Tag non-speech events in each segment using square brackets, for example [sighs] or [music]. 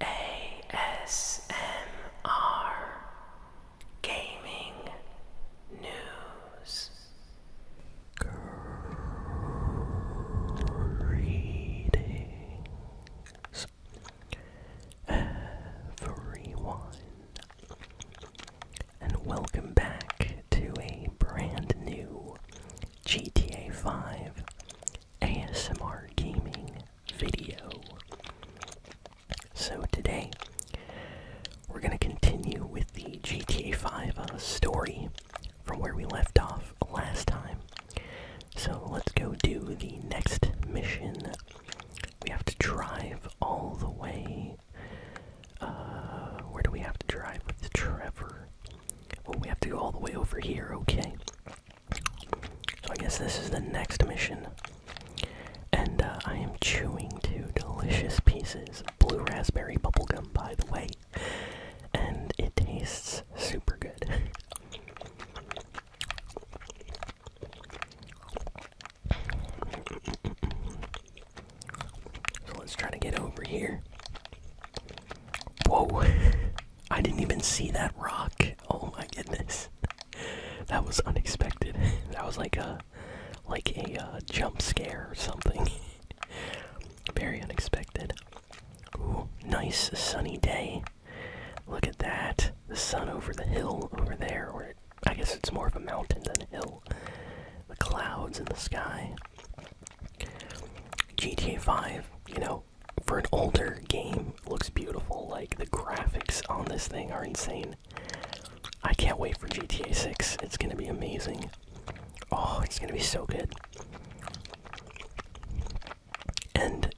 ASMR Gaming News. Greetings, everyone, and welcome back to a brand new GTA 5 ASMR gaming video. So today we're going to continue with the GTA 5 uh, story from where we left off last time. So let's go do the next mission. We have to drive all the way. Uh, where do we have to drive with Trevor? Well, we have to go all the way over here, okay. So I guess this is the next mission. And uh, I am chewing two delicious pieces of blue raspberry bubblegum, by the way. And it tastes super good. [laughs] so let's try to get over here. Whoa. [laughs] I didn't even see that rock. [laughs] Oh my goodness. [laughs] that was unexpected. [laughs] That was like a like a uh, jump scare or something. Very unexpected. Ooh, nice sunny day. Look at that. The sun over the hill over there, or I guess it's more of a mountain than a hill. The clouds in the sky. GTA 5, you know, for an older game, looks beautiful. Like the graphics on this thing are insane. I can't wait for GTA 6. It's gonna be amazing. Oh, it's gonna be so good. And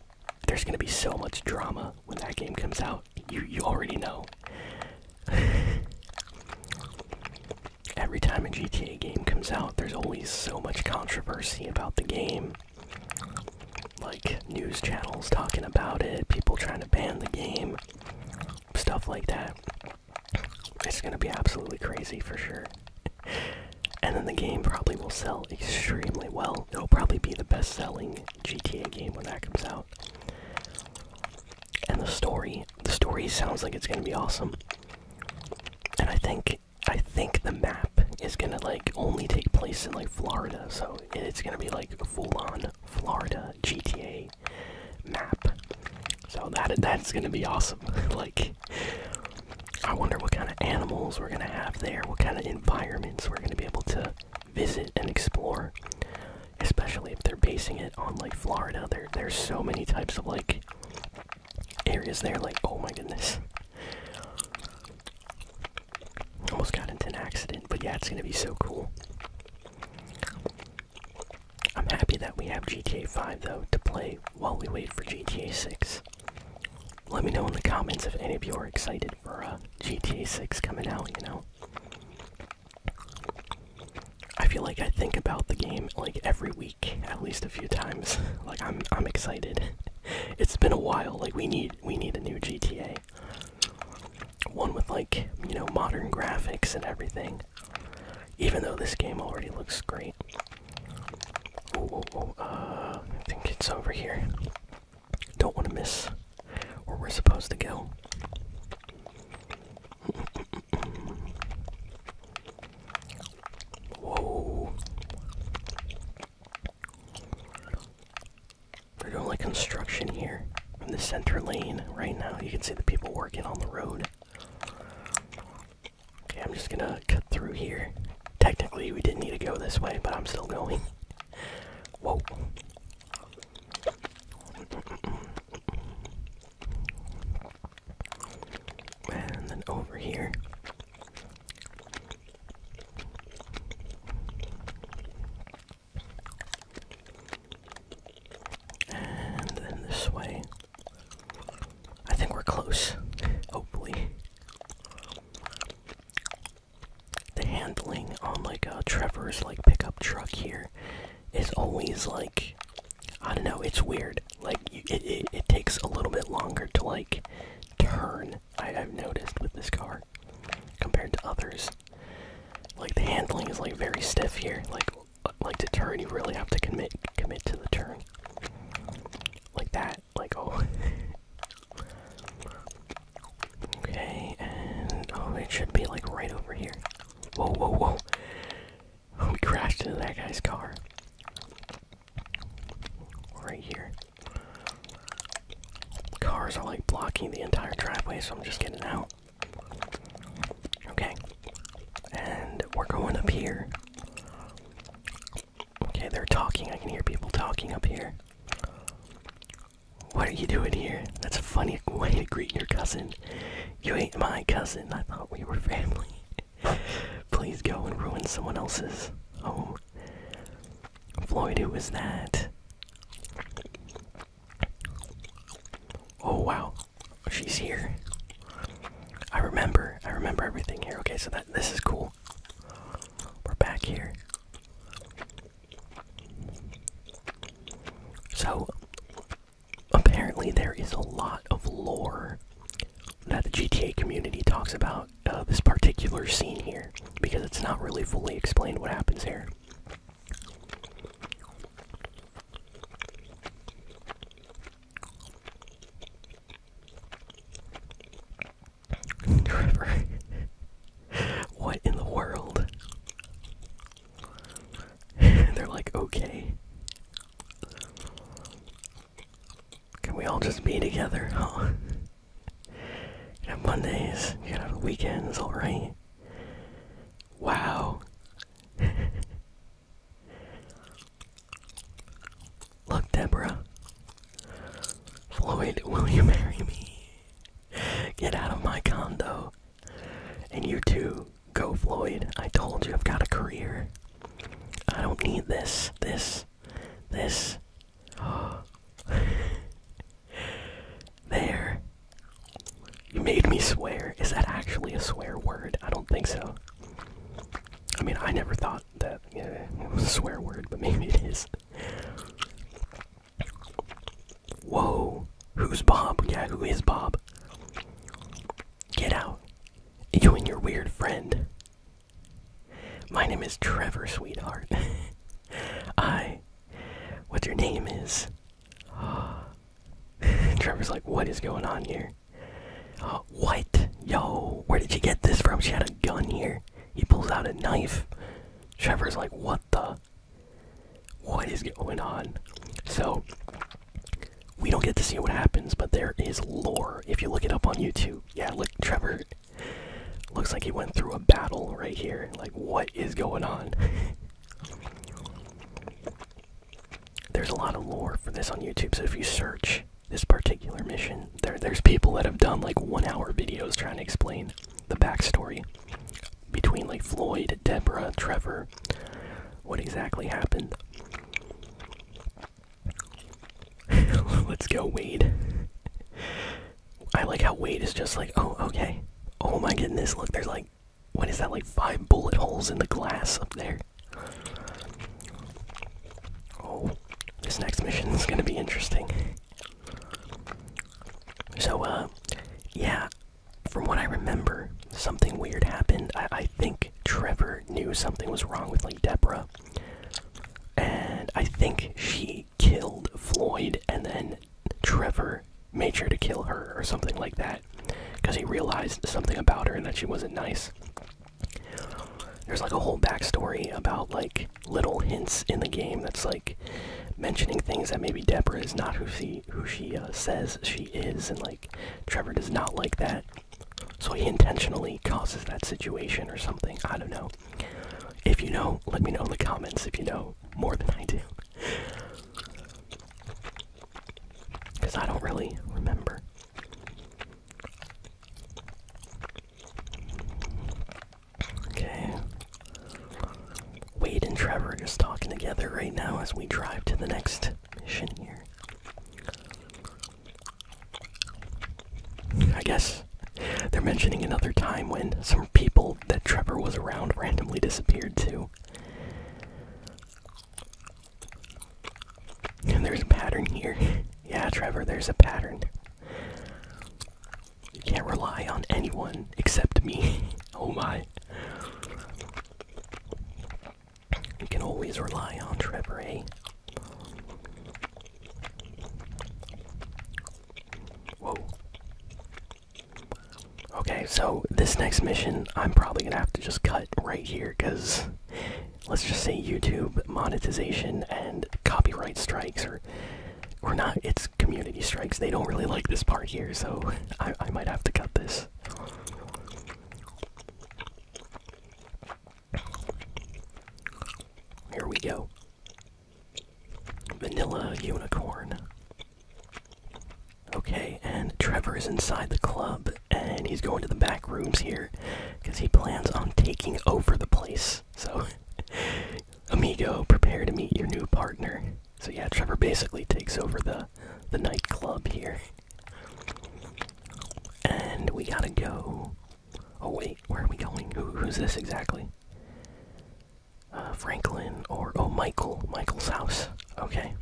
there's gonna be so much drama when that game comes out. You you already know. [laughs] Every time a GTA game comes out, there's always so much controversy about the game like news channels talking about it, people trying to ban the game, stuff like that. It's gonna be absolutely crazy for sure. and then the game probably will sell extremely well. It'll probably be the best selling GTA game when that comes out. And the story, the story sounds like it's gonna be awesome. And I think I think the map is gonna like only take place in like Florida, so it's gonna be like full on Florida GTA map. So that that's gonna be awesome. [laughs] like, I wonder what kind of animals we're gonna have there, what kind of environments we're gonna be able to visit and explore. Especially if they're basing it on like Florida, there there's so many types of like areas there. Like, oh my goodness. Almost got into an accident, but yeah, it's gonna be so cool. I'm happy that we have GTA 5 though to play while we wait for GTA 6. Let me know in the comments if any of you are excited for uh, GTA 6 coming out, you know? I feel like I think about the game like every week, at least a few times. [laughs] like I'm I'm excited. [laughs] [laughs] it's been a while. Like we need we need a new GTA. One with like, you know, modern graphics and everything. Even though this game already looks great. Ooh, uh, I think it's over here. Don't want to miss where we're supposed to go. Whoa we are doing like construction here in the center lane right now. You can see the people working on the road. Okay, I'm just gonna cut through here. Technically, we didn't need to go this way, but I'm still going. [laughs] Whoa. And then over here. And then this way. I think we're close. Hopefully. The handling on like a uh, Trevor's like pickup truck here is always like I don't know. It's weird. Like it, it takes a little bit longer to like turn I, have noticed with this car compared to others. Like the handling is like very stiff here. Like like to turn, you really have to commit commit to the turn. Like that. Like oh. [laughs] okay, and oh, it should be like right over here. Whoa, whoa, whoa! [laughs] We crashed into that guy's car. Right here. Cars are like blocking the entire driveway, so I'm just getting out. Okay. And we're going up here. Okay, they're talking. I can hear people talking up here. What are you doing here? That's a funny way to greet your cousin. You ain't my cousin. I thought we were family. [laughs] Please go and ruin someone else's home. Floyd, who was that? Oh wow, she's here. I remember. I remember everything here. Okay, so that this is cool. We're back here. So apparently there is a lot of lore that the GTA community talks about uh, this particular scene here because it's not really fully explained what happens here. [laughs] Trevor, what in the world? [laughs] They're like, okay. Can we all just be together? Huh? you have Mondays, you can have weekends, alright? Wow. [laughs] Look, Deborah. Floyd, will you marry me? Get out of my condo. And you too. Go, Floyd. I told you I've got a career. I don't need this. This this. Oh. [gasps] there. You made me swear. Is that actually a swear word? I don't think so. I mean, I never thought that it was a swear word, but [laughs] maybe it is. Whoa. Who's Bob? Yeah, who is Bob? Get out. You and your weird friend. My name is Trevor, sweetheart. [laughs] I. What your name is. [sighs] Trevor's like, what is going on here? what? Yo, where did you get this from? She had a gun here. He pulls out a knife. Trevor's like, what the? What is going on? So, we don't get to see what happens, but there is lore. If you look it up on YouTube, yeah, look, Trevor Looks like he went through a battle right here. Like, what is going on? There's a lot of lore for this on YouTube, so if you search this particular mission, there there's people that have done like one-hour videos trying to explain the backstory between like Floyd, Deborah, Trevor, what exactly happened. [laughs] Let's go, Wade. I like how Wade is just like, oh, okay. Oh my goodness, look, there's like, what is that, like five bullet holes in the glass up there? Oh, this next mission is gonna be interesting. So, uh, yeah, from what I remember, something weird happened. I, think Trevor knew something was wrong with, like, Debra. And I think she killed Floyd, and then Trevor made sure to kill her or something like that because he realized something about her and that she wasn't nice. There's like a whole backstory about like little hints in the game that's like mentioning things that maybe Deborah is not who she who she uh, says she is, and like Trevor does not like that, so he intentionally causes that situation or something. I don't know. If you know, let me know in the comments if you know more than I do. Because I don't really remember. Okay. Wade and Trevor are just talking together right now as we drive to the next mission here. I guess they're mentioning another time when some people that Trevor was around randomly disappeared too. And there's a pattern here. [laughs] yeah, Trevor, there's a pattern. You can't rely on anyone except me. [laughs] oh my. You can always rely on Trevor, eh? Whoa. Okay, so this next mission, I'm probably gonna have to just cut right here because let's just say YouTube monetization and copyright strikes, or or not, it's community strikes. They don't really like this part here, so I, I might have to cut this. Here we go. Vanilla unicorn. Okay, and Trevor is inside the club and he's going to the back rooms here because he plans on taking over the place. So, [laughs] amigo, prepare to meet your new partner. So yeah, Trevor basically takes over the the nightclub here. And we gotta go Oh wait, where are we going? Who, who's this exactly? Uh, Franklin or oh Michael, Michael's house. Okay.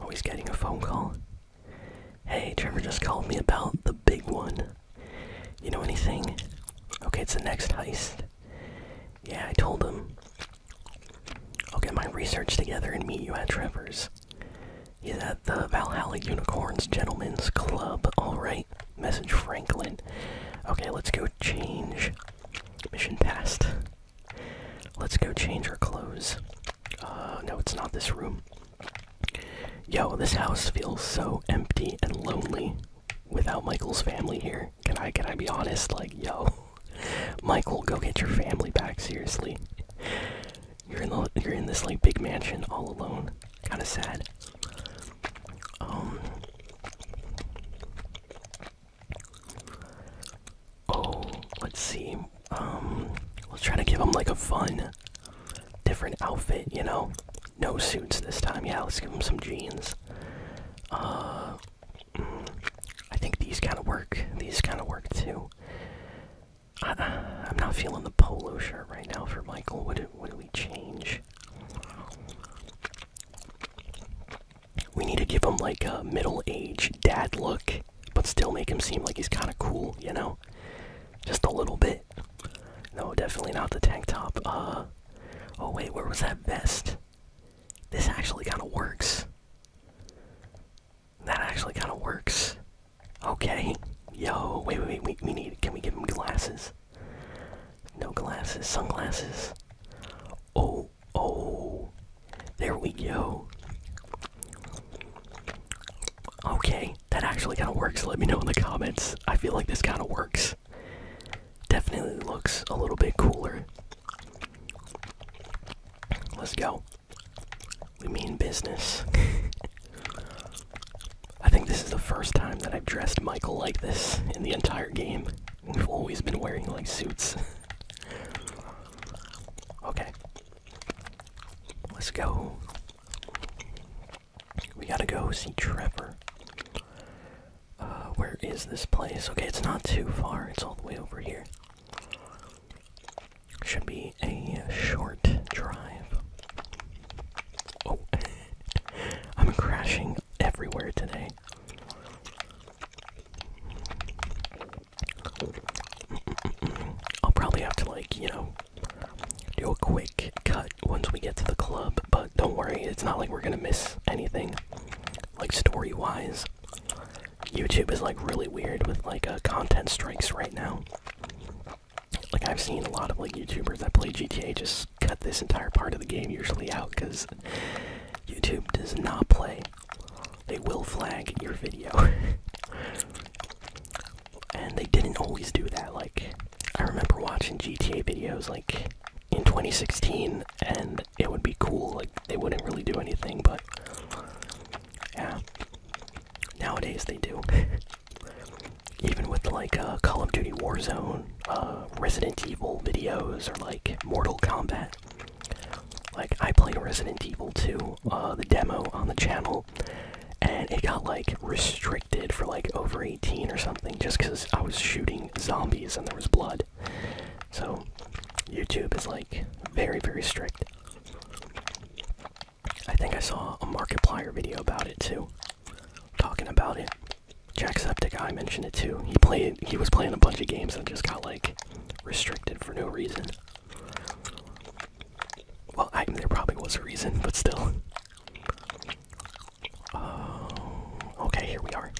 Oh, he's getting a phone call. Hey, Trevor just called me about the big one. You know anything? Okay, it's the next heist. Yeah, I told him. I'll get my research together and meet you at Trevor's. Yes. He's at the Valhalla Unicorns Gentlemen's Club. Alright. Message Franklin. Okay, let's go change. Mission passed. Let's go change our clothes. Uh, no, it's not this room. Yo, this house feels so empty and lonely without Michael's family here. Can I can I be honest? Like, yo, [laughs] Michael, go get your family back seriously. You're in the you're in this like big mansion all alone. Kind of sad. Um. Oh, let's see. Um, let's try to give him like a fun, different outfit. You know, no suits this time. Yeah, let's give him some jeans. Uh, mm, I think these kind of work. These kind of work too. I, am not feeling the polo shirt right now for Michael. What do, what we change? We need to give him like a middle age dad look, but still make him seem like he's kind of cool, you know? Just a little bit. No, definitely not the tank top. Uh, oh wait, where was that vest? This actually kind of works. That actually kind of works. Okay. Yo, wait, wait, wait. We, need. Can we give him glasses? No glasses. Sunglasses. Oh, oh. There we go. Okay, that actually kind of works. Let me know in the comments. I feel like this kind of works. Definitely looks a little bit cooler. Let's go. We mean business. I think this is the first time that I've dressed Michael like this in the entire game. We've always been wearing like suits. okay. Let's go. We gotta go see Trevor. Uh, where is this place? Okay, it's not too far. It's all the way over here. Should be a short drive. Oh, [laughs] I'm crashing everywhere today. [laughs] I'll probably have to, like, you know, do a quick cut once we get to the club, but don't worry, it's not like we're gonna miss anything, like, story wise. YouTube is, like, really weird with, like, uh, content strikes right now like I've seen a lot of like YouTubers that play GTA just cut this entire part of the game usually out because YouTube does not play. They will flag your video. [laughs] and they didn't always do that. Like I remember watching GTA videos like in 2016 and it would be cool, like they wouldn't really do anything, but yeah. Nowadays they do. [laughs] Even with like uh, Call of Duty Warzone, uh, Resident Evil videos, or like Mortal Kombat. Like I played Resident Evil 2, uh, the demo on the channel, and it got like restricted for like over 18 or something, just because I was shooting zombies and there was blood. So YouTube is like very very strict. I think I saw a Markiplier video about it too, talking about it. Jacksepticeye mentioned it too. He played. He was playing a bunch of games that just got like restricted for no reason. Well, I, there probably was a reason, but still. Oh, okay, here we are.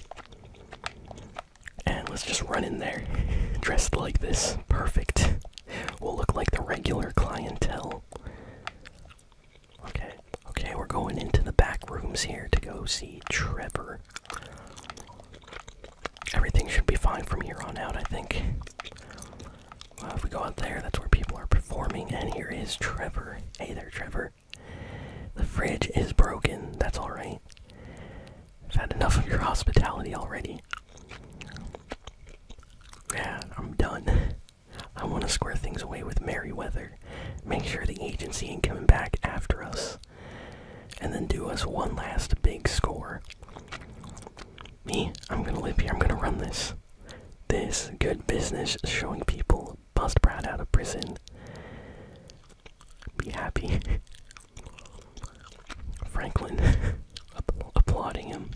And let's just run in there, [laughs] dressed like this. Perfect. We'll look like the regular clientele. Okay, okay, we're going into the back rooms here to go see Trevor. Everything should be fine from here on out, I think. Well, if we go out there, that's where people are performing, and here is Trevor. Hey there, Trevor. The fridge is broken, that's alright. I've had enough of your hospitality already. Yeah, I'm done. I want to square things away with Merryweather. Make sure the agency ain't coming back after us. And then do us one last big score. Me, I'm gonna live here, I'm gonna run this. This good business showing people bust Brad out of prison. Be happy. [laughs] Franklin [laughs] applauding him.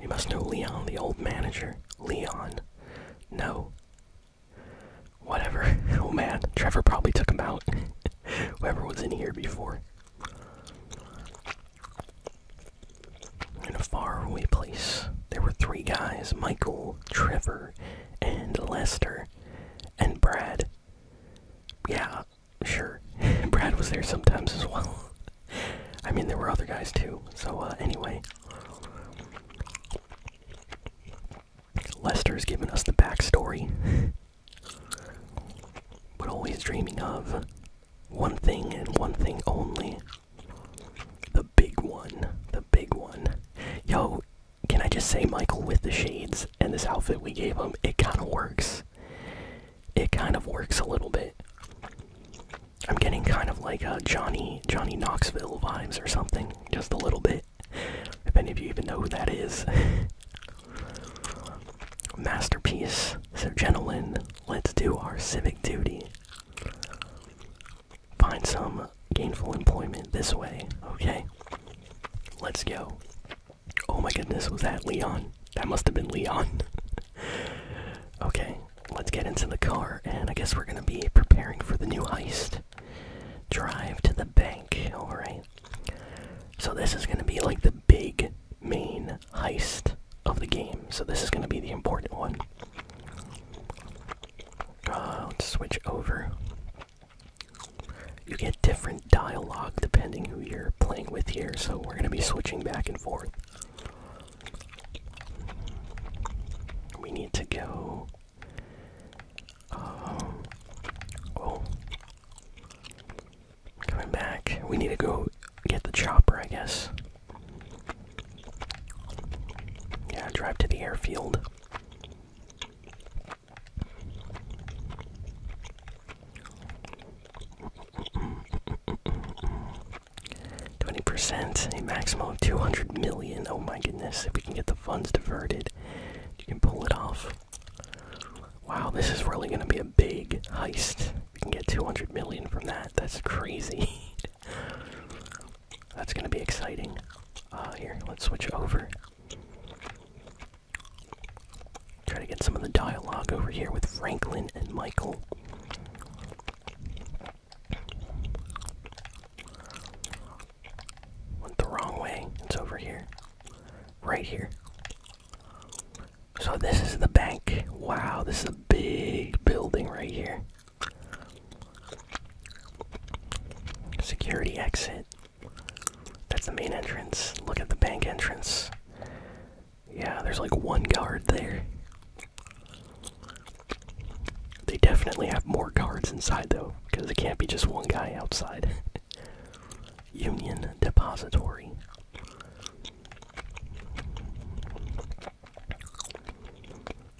You must know Leon, the old manager. Leon. No. Whatever. [laughs] Oh man, Trevor probably took him out. [laughs] Whoever was in here before. In a faraway place, there were three guys Michael, Trevor, and Lester, and Brad. Yeah, sure. [laughs] Brad was there sometimes as well. I mean, there were other guys too. So, uh, anyway. Lester's given us the backstory. [laughs] but always dreaming of one thing and one thing only. The big one. The big one. Yo, can I just say, Michael, with the shades and this outfit we gave him, it kind of works it kind of works a little bit. I'm getting kind of like a uh, Johnny Johnny Knoxville vibes or something, just a little bit. If any of you even know who that is. [laughs] Masterpiece. So gentlemen, let's do our civic duty. Find some gainful employment this way. Okay. Let's go. Oh my goodness, was that Leon? That must have been Leon. [laughs] okay, let's get into the car, and I guess we're gonna be preparing for the new heist. Drive to the bank, alright. So, this is gonna be like the big main heist of the game, so this is gonna be the important one. Uh, let's switch over. You get different dialogue depending who you're playing with here, so we're gonna be switching back back We need to go. Um, oh. Coming back. We need to go get the chopper, I guess. Yeah, drive to the airfield. Twenty percent, a maximum of two hundred million. Oh my goodness! If we can get the funds diverted, you can pull it off. Wow, this is really going to be a big heist. We can get two hundred million from that. That's crazy. [laughs] That's going to be exciting. Uh, here, let's switch over. Try to get some of the dialogue over here with Franklin and Michael. Went the wrong way. It's over here. Right here. So this is the bank. Wow, this is a big building right here. Security exit. That's the main entrance. Look at the bank entrance. Yeah, there's like one guard there. They definitely have more guards inside though, because it can't be just one guy outside. [laughs] Union Depository.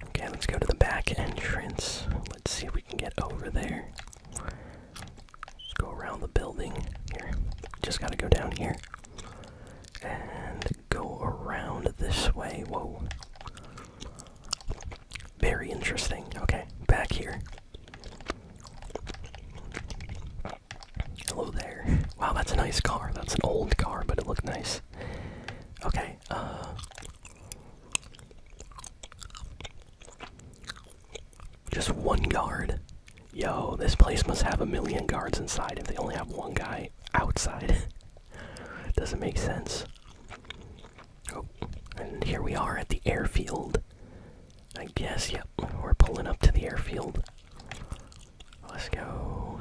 Okay, let's go to the back entrance. Let's see if we can get over there. Let's go around the building. Here, just gotta go down here and go around this way. Whoa. Very interesting. Okay, back here. Hello there. Wow, that's a nice car. That's an old car, but it looked nice. Okay, uh, Just one guard. Yo, this place must have a million guards inside if they only have one guy outside. [laughs] Doesn't make sense. Oh, and here we are at the airfield. I guess, yep, we're pulling up to the airfield. Let's go.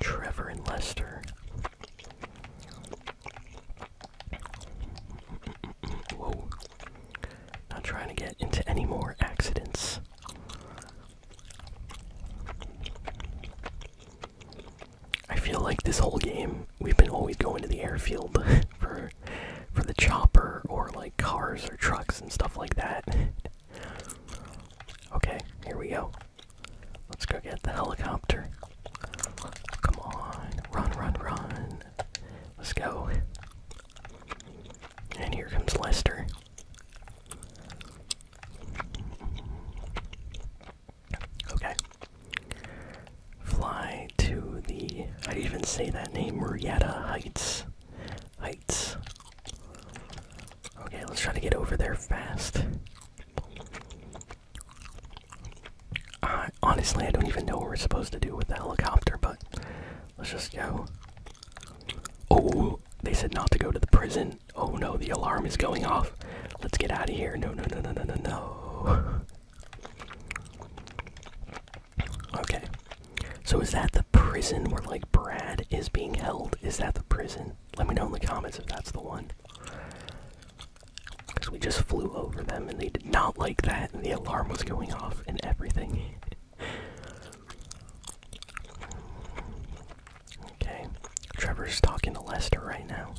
Trevor and Lester. Whoa. Not trying to get into any more accidents. I feel like this whole game we've been always going to the airfield [laughs] for for the chopper or like cars or trucks and stuff like that. [laughs] okay, here we go. Let's go get the helicopter. Come on, run, run, run. Let's go. And here comes Lester. Okay. Fly to the. I even say that name, Ruyetta Heights. Heights. Okay, let's try to get over there fast. honestly, I don't even know what we're supposed to do with the helicopter, but let's just go. Oh, they said not to go to the prison. Oh no, the alarm is going off. Let's get out of here. No, no, no, no, no, no, no. okay. So is that the prison where like Brad is being held? Is that the prison? Let me know in the comments if that's the one. Because we just flew over them and they did not like that and the alarm was going off and everything. Okay. Trevor's talking to Lester right now.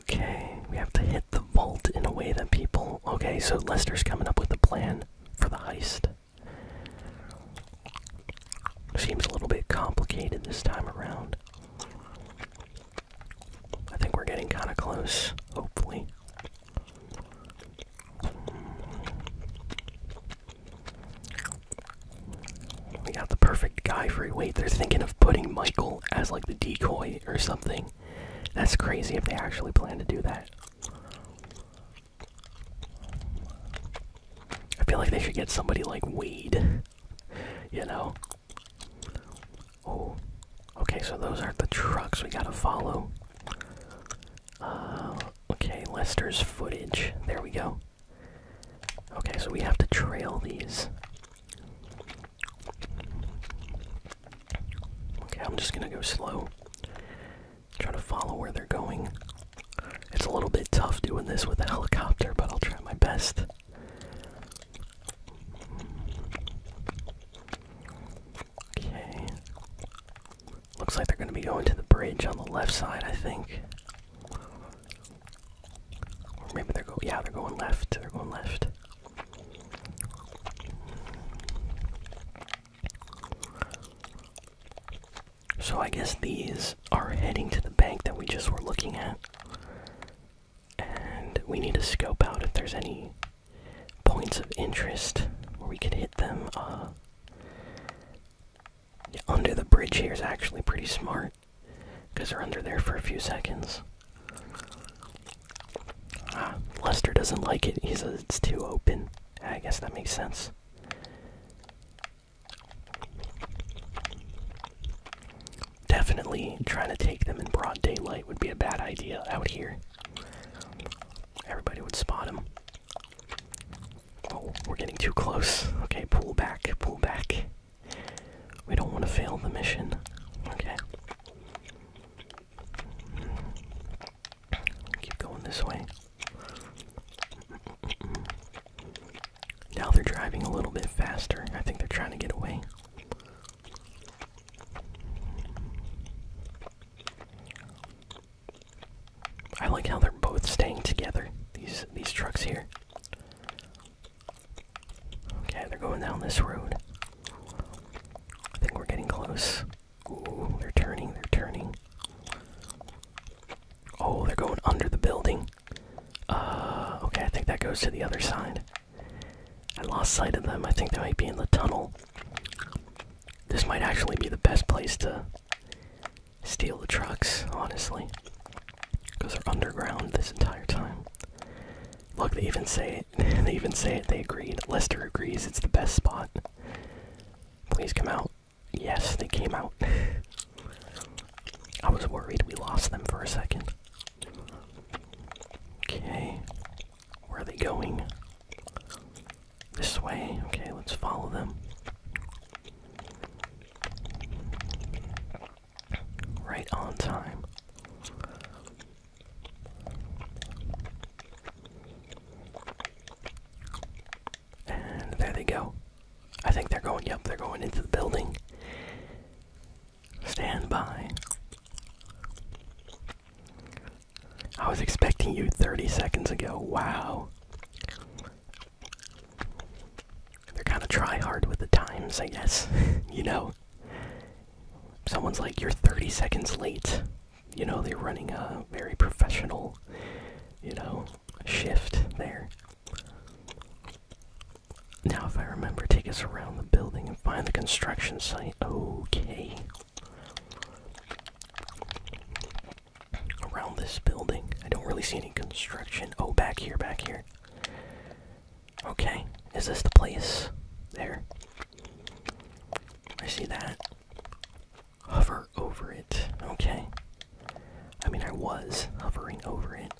Okay, we have to hit the vault in a way that people. Okay, so Lester's coming up with a plan for the heist. Seems a little bit complicated this time around. I think we're getting kind of close, hopefully. We got the perfect guy for wait. They're thinking of putting Michael as like the decoy or something. That's crazy if they actually plan to do that. I feel like they should get somebody like Weed, you know? Oh. Okay, so those are the trucks we gotta follow. Uh, okay, Lester's footage. There we go. Okay, so we have to trail these. Okay, I'm just gonna go slow. Trying to follow where they're going. It's a little bit tough doing this with a helicopter, but I'll try my best. Okay. Looks like they're going to be going to the bridge on the left side, I think. maybe they're going, yeah, they're going left. They're going left. So I guess these are heading to the bank that we just were looking at. And we need to scope out if there's any points of interest where we could hit them. Uh, under the bridge here is actually pretty smart because they're under there for a few seconds. Ah, Lester doesn't like it. He says it's too open. I guess that makes sense. Definitely trying to take them in broad daylight would be a bad idea out here. Everybody would spot them. Oh, we're getting too close. Okay, pull back, pull back. We don't want to fail the mission. Okay. Keep going this way. Now they're driving a little bit faster. I think they're trying to get away. I like how they're both staying together. These these trucks here. Okay, they're going down this road. I think we're getting close they're turning, they're turning. Oh, they're going under the building. Uh, okay, I think that goes to the other side. I lost sight of them. I think they might be in the tunnel. This might actually be the best place to steal the trucks, honestly. Because they're underground this entire time. Look, they even say it. [laughs] they even say it. They agreed. Lester agrees it's the best spot. Please come out. Yes, they came out. [laughs] I was worried we lost them for a second. Okay. Where are they going? This way. Okay, let's follow them. Right on time. And there they go. I think they're going, yep, they're going into the building. Stand by. I was expecting you 30 seconds ago. Wow. They're kind of try hard with the times, I guess. [laughs] you know? Someone's like, you're 30 seconds late you know, they're running a very professional, you know, shift there. Now, if I remember, take us around the building and find the construction site. Okay. Around this building. I don't really see any construction. Oh, back here, back here. Okay. Is this the place? There. I see that hover over it, okay? I mean, I was hovering over it.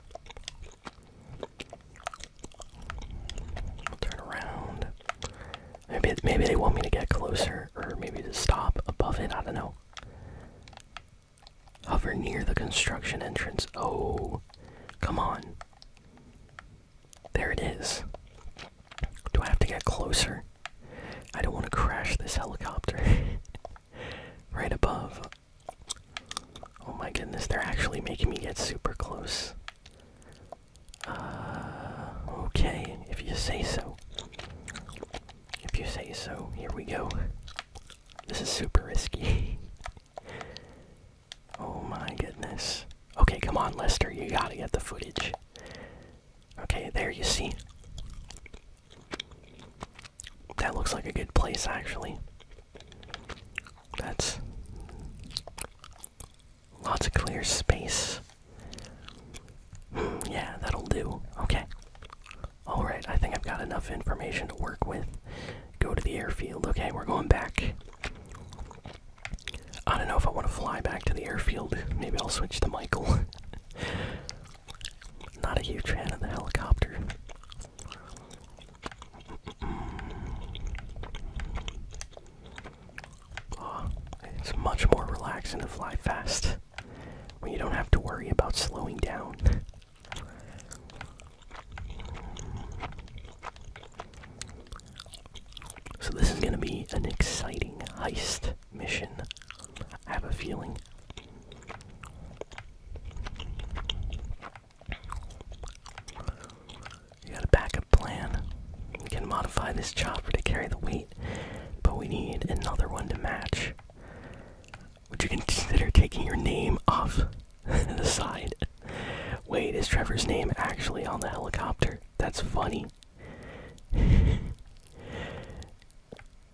I'll turn around. Maybe maybe they want me to get closer, or maybe to stop above it. I don't know. Hover near the construction entrance. Oh, come on. There it is. Do I have to get closer? I don't want to crash this helicopter [laughs] right above. Oh my goodness, they're actually making me get super close. Uh, okay, if you say so. If you say so, here we go. This is super risky. [laughs] oh my goodness. Okay, come on, Lester, you gotta get the footage. Okay, there you see. That looks like a good place, actually. That's lots of clear space. Hmm, yeah, that'll do. Okay. Alright, I think I've got enough information to work with. Go to the airfield. Okay, we're going back. I don't know if I want to fly back to the airfield. Maybe I'll switch to Michael. [laughs] Not a huge fan of the helicopter. Oh, it's much more relaxing to fly fast when you don't have to worry about slowing down. So, this is going to be an exciting heist mission. I have a feeling. You got a backup plan. We can modify this chopper to carry the weight, but we need another one to match. Would you consider taking your name off [laughs] the side? Wait, is Trevor's name actually on the helicopter? That's funny. [laughs]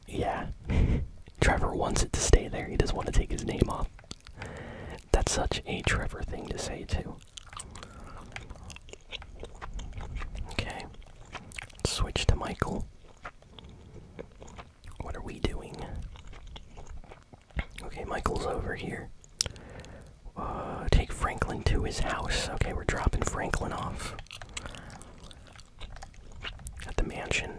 Yeah. [laughs] Trevor wants it to stay there. He doesn't want to take his name off. That's such a Trevor thing to say, too. Okay. Switch to Michael. What are we doing? Okay, Michael's over here. Uh, take Franklin to his house. Okay, we're dropping Franklin off at the mansion.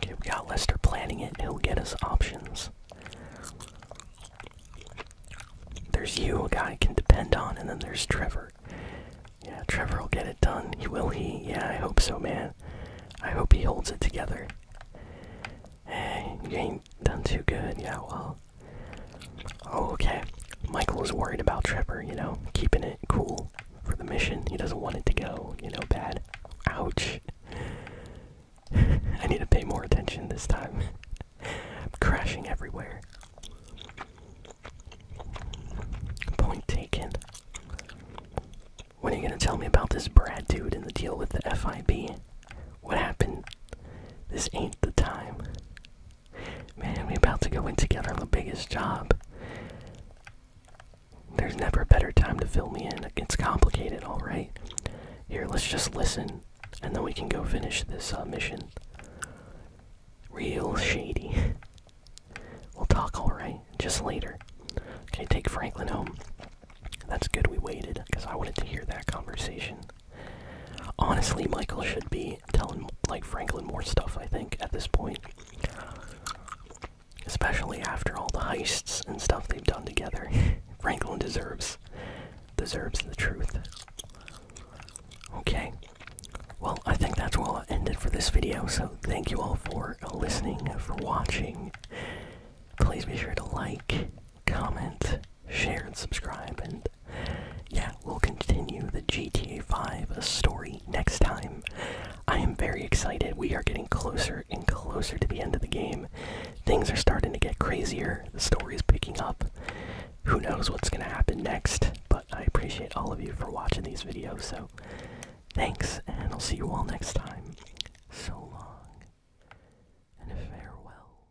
Okay, we got Lester planning it. He'll get us options. There's you, a guy can depend on, and then there's Trevor. Yeah, Trevor will get it done. He will he? Yeah, I hope so, man. I hope he holds it together. Hey, you ain't Done too good, yeah, well. Oh, okay. Michael is worried about Trevor, you know, keeping it cool for the mission. He doesn't want it to go, you know, bad. Ouch. [laughs] I need to pay more attention this time. [laughs] I'm crashing everywhere. Point taken. What are you gonna tell me about this Brad dude and the deal with the FIB? What happened? This ain't the time. Man, we are about to go in together on the biggest job. There's never a better time to fill me in. It's complicated, alright? Here, let's just listen, and then we can go finish this uh, mission. Real shady. we'll talk, alright? Just later. Okay, take Franklin home. That's good we waited, because I wanted to hear that conversation. Honestly, Michael should be telling like Franklin more stuff. I think at this point, especially after all the heists and stuff they've done together, [laughs] Franklin deserves deserves the truth. Okay. Well, I think that's where I'll end it for this video, so thank you all for listening, for watching. Please be sure to like, comment, share, and subscribe. And yeah, we'll continue the GTA 5 story next time. I am very excited. We are getting closer and closer to the end of the game. Things are starting to get crazier. The story is picking up. Who knows what's going to happen next? But I appreciate all of you for watching these videos. So thanks, and I'll see you all next time. So long and farewell.